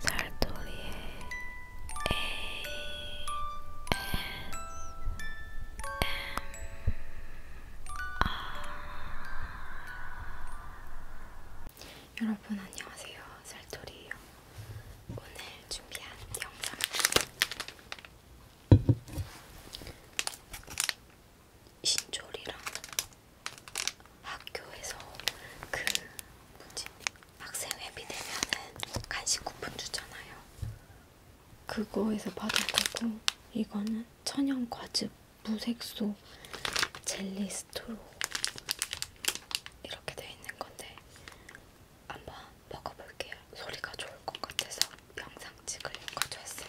살돌이의 ASMR 여러분 안녕하세요 살돌이에요 오늘 준비한 영상은 신조리랑 학교에서 그 뭐지 학생회비 되면은 간식 쿠폰 주잖아요. 그거에서 받은 거고 이거는 천연 과즙 무색소 젤리 스토로 이렇게 돼 있는 건데 한번 먹어볼게요. 소리가 좋을 것 같아서 영상 찍으려고 가져왔어요.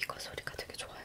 이거 소리가 되게 좋아요.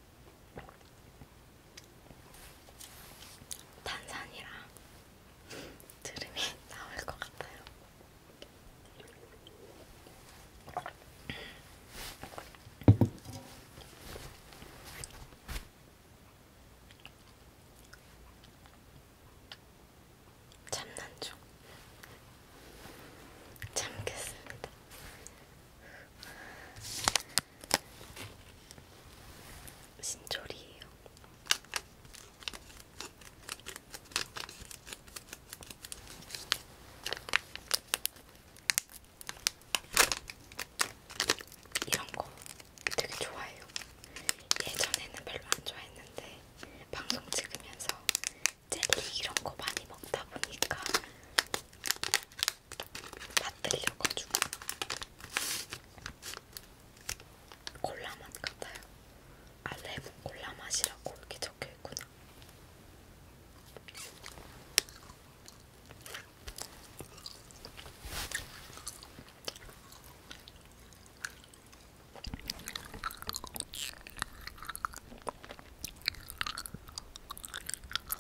탄산이라 드림이 나올 것 같아요. 참난 중 참겠습니다. 신조리예요. 이런 거 되게 좋아해요. 예전에는 별로 안 좋아했는데 방송 찍으면서 젤리 이런 거 많이 먹다 보니까 다 뜰려가지고 콜라 맛 같아요. 아 레몬 콜라 맛이라고 이렇게 적혀 있구나.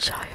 저요.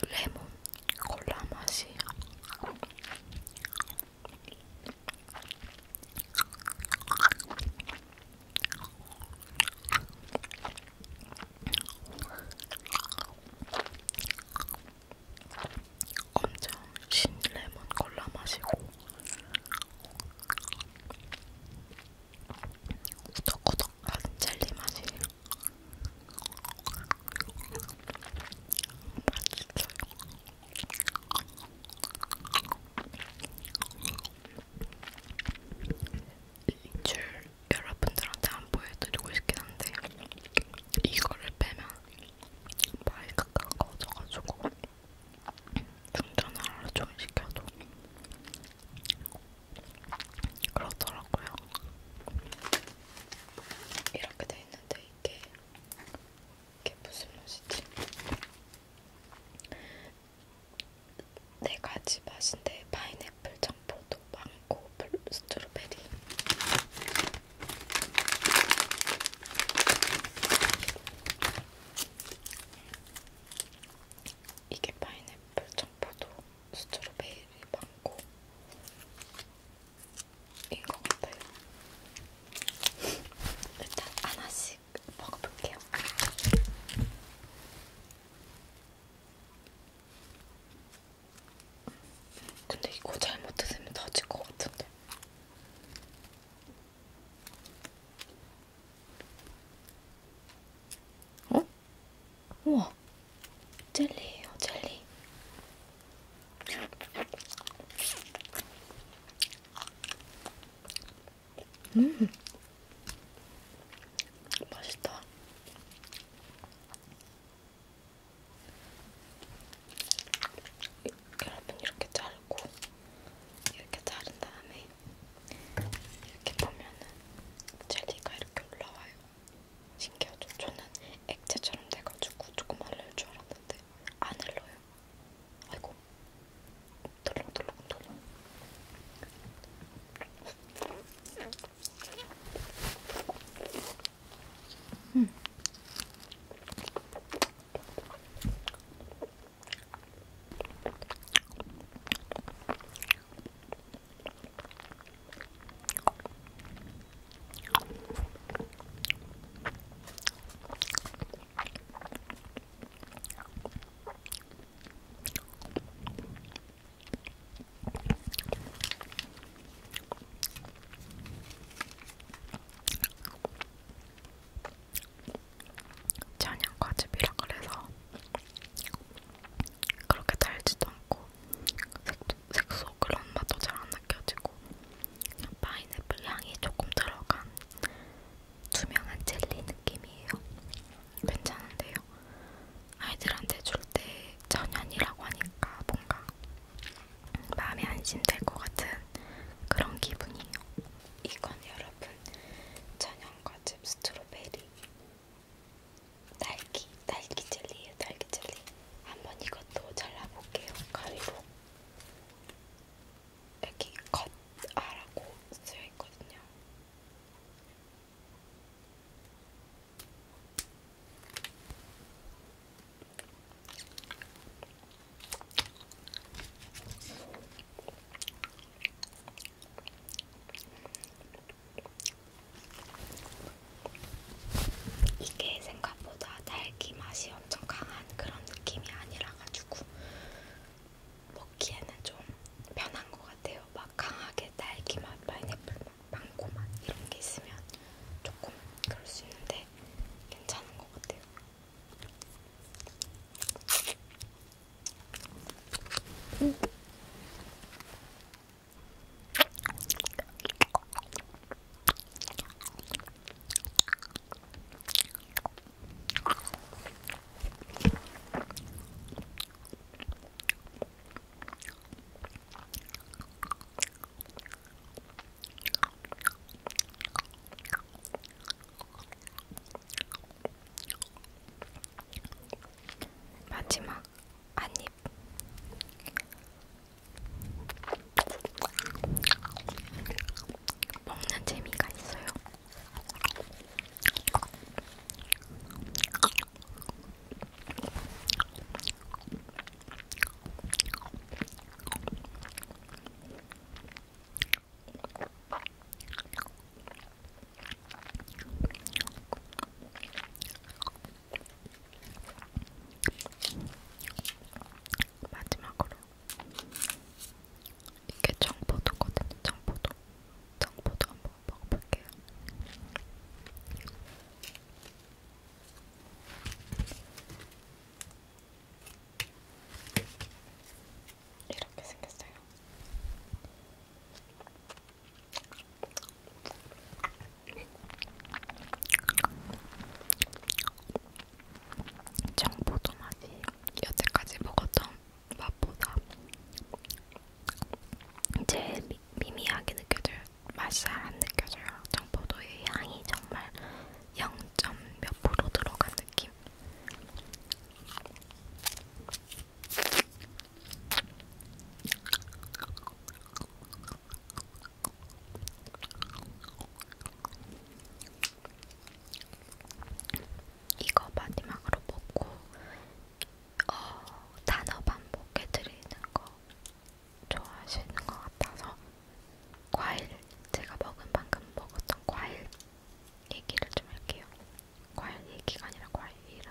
레몬 콜라 맛이 엄청 신 레몬 골라 마시고 꾸덕꾸덕한 젤리 맛이에요. 맛있어요. 줄 여러분들한테 안 보여드리고 싶긴 한데 이거를 빼면 마이크가 꺼져가지고 충전을 하루 종일 시켜도 그렇더라고요. 이렇게 돼 있는데 이게 이게 무슨 맛이지? 네 가지 맛인데 파인애플, 청포도, 망고, 블루, 스트로베리. 이게 파인애플, 청포도, 스트로베리, 망고. 이거 같아요. 일단 하나씩 먹어볼게요. 근데 이거 잘못 드시면 다칠 것 같은데. 어? 우와. 젤리예요, 젤리. 음, 맛있다. 여러분 이렇게 자르고 이렇게 자른 다음에 이렇게 보면은 젤리가 이렇게 올라와요. 신기하죠? 저는 액체처럼 돼가지고 조금 흘릴 줄 알았는데 안 흘러요. 아이고 덜렁덜렁 덜렁 음. 찬양 과즙이라 그래서 그렇게 달지도 않고 색소, 색소 그런 맛도 잘 안 느껴지고 파인애플 향이 조금 들어간 투명한 젤리 느낌이에요. 괜찮은데요. 아이들한테 줄 때 천연이라고 하니까 뭔가 마음이 안심될 것 같은 그런 기분이에요. 이건 여러분 천연과즙 스트로베리 딸기 딸기 젤리예요. 딸기 젤리. 한번 이것도 잘라볼게요. 가위로. 여기 컷아라고 쓰여 있거든요. 이게 생각보다 달기 맛이 엄청 강한 그런 느낌이 아니라 거라가지고 먹기에는 좀 편한 것 같아요. 막 강하게 딸기 맛, 파인애플 맛, 망고 맛 이런 게 있으면 조금 그럴 수 있는데 괜찮은 것 같아요. 음. 마지막 한입 먹는 재미가 있어요. 마지막으로 이게 청포도거든요. 청포도. 청포도 한번 먹어볼게요. 이렇게 생겼어요. 정보도 맛이 여태까지 먹었던 맛보다 제일 미, 미미하게 느껴져요. 맛이 잘안 느껴져요. 정보도의 향이 정말 0.몇 프로 들어간 느낌. 이거 마지막으로 먹고 어, 단어 반복해드리는 거 좋아하시는 것 같아서 과일 제가 먹은 방금 먹었던 과일 얘기를 좀 할게요. 과일 얘기가 아니라 과일이라.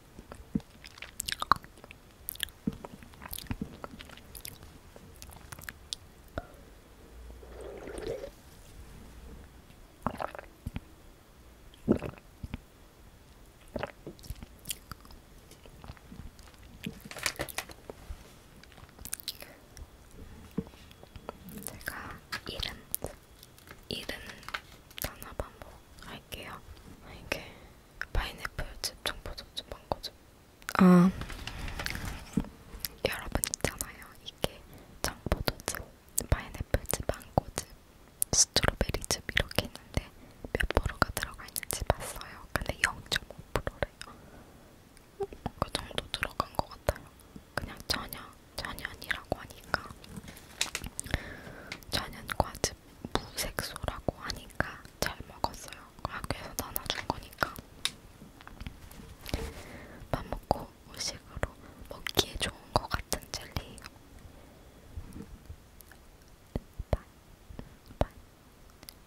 제가 이름 이름 단합 한번 할게요. 이게 파인애플 즙, 청포도 즙, 망고 즙. 아 여러분 있잖아요. 이게 청포도 즙, 파인애플 즙, 망고 즙, 스트로베리 즙 이렇게 있는데 몇 프로가 들어가 있는지 봤어요. 근데 0.5%래요. 그 정도 들어간 것 같아요. 그냥 전혀 전연이라고 하니까 전연 과즙 무색소라고 하니까 잘 먹었어요. 학교에서 나눠준 거니까 밥 먹고 후식으로 먹기에 좋은 것 같은 젤리예요. 바이 바이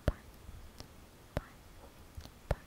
바이 바이 바이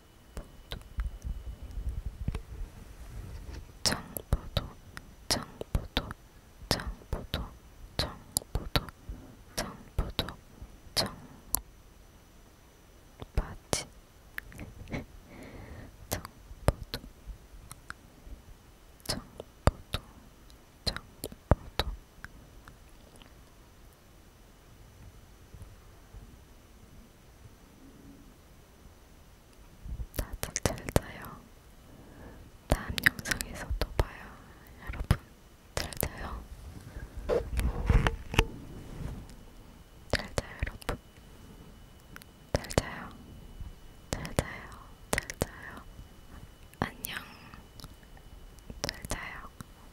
장보도 장보도 장보도 장보도 장보도 장 바지 장보도 장보도 장보도 다들 잘 자요. 다음 영상에서 또 봐요. 여러분, 잘 자요. 잘 자요, 여러분. 잘 자요. 잘 자요. 잘 자요. 안녕. 잘 자요.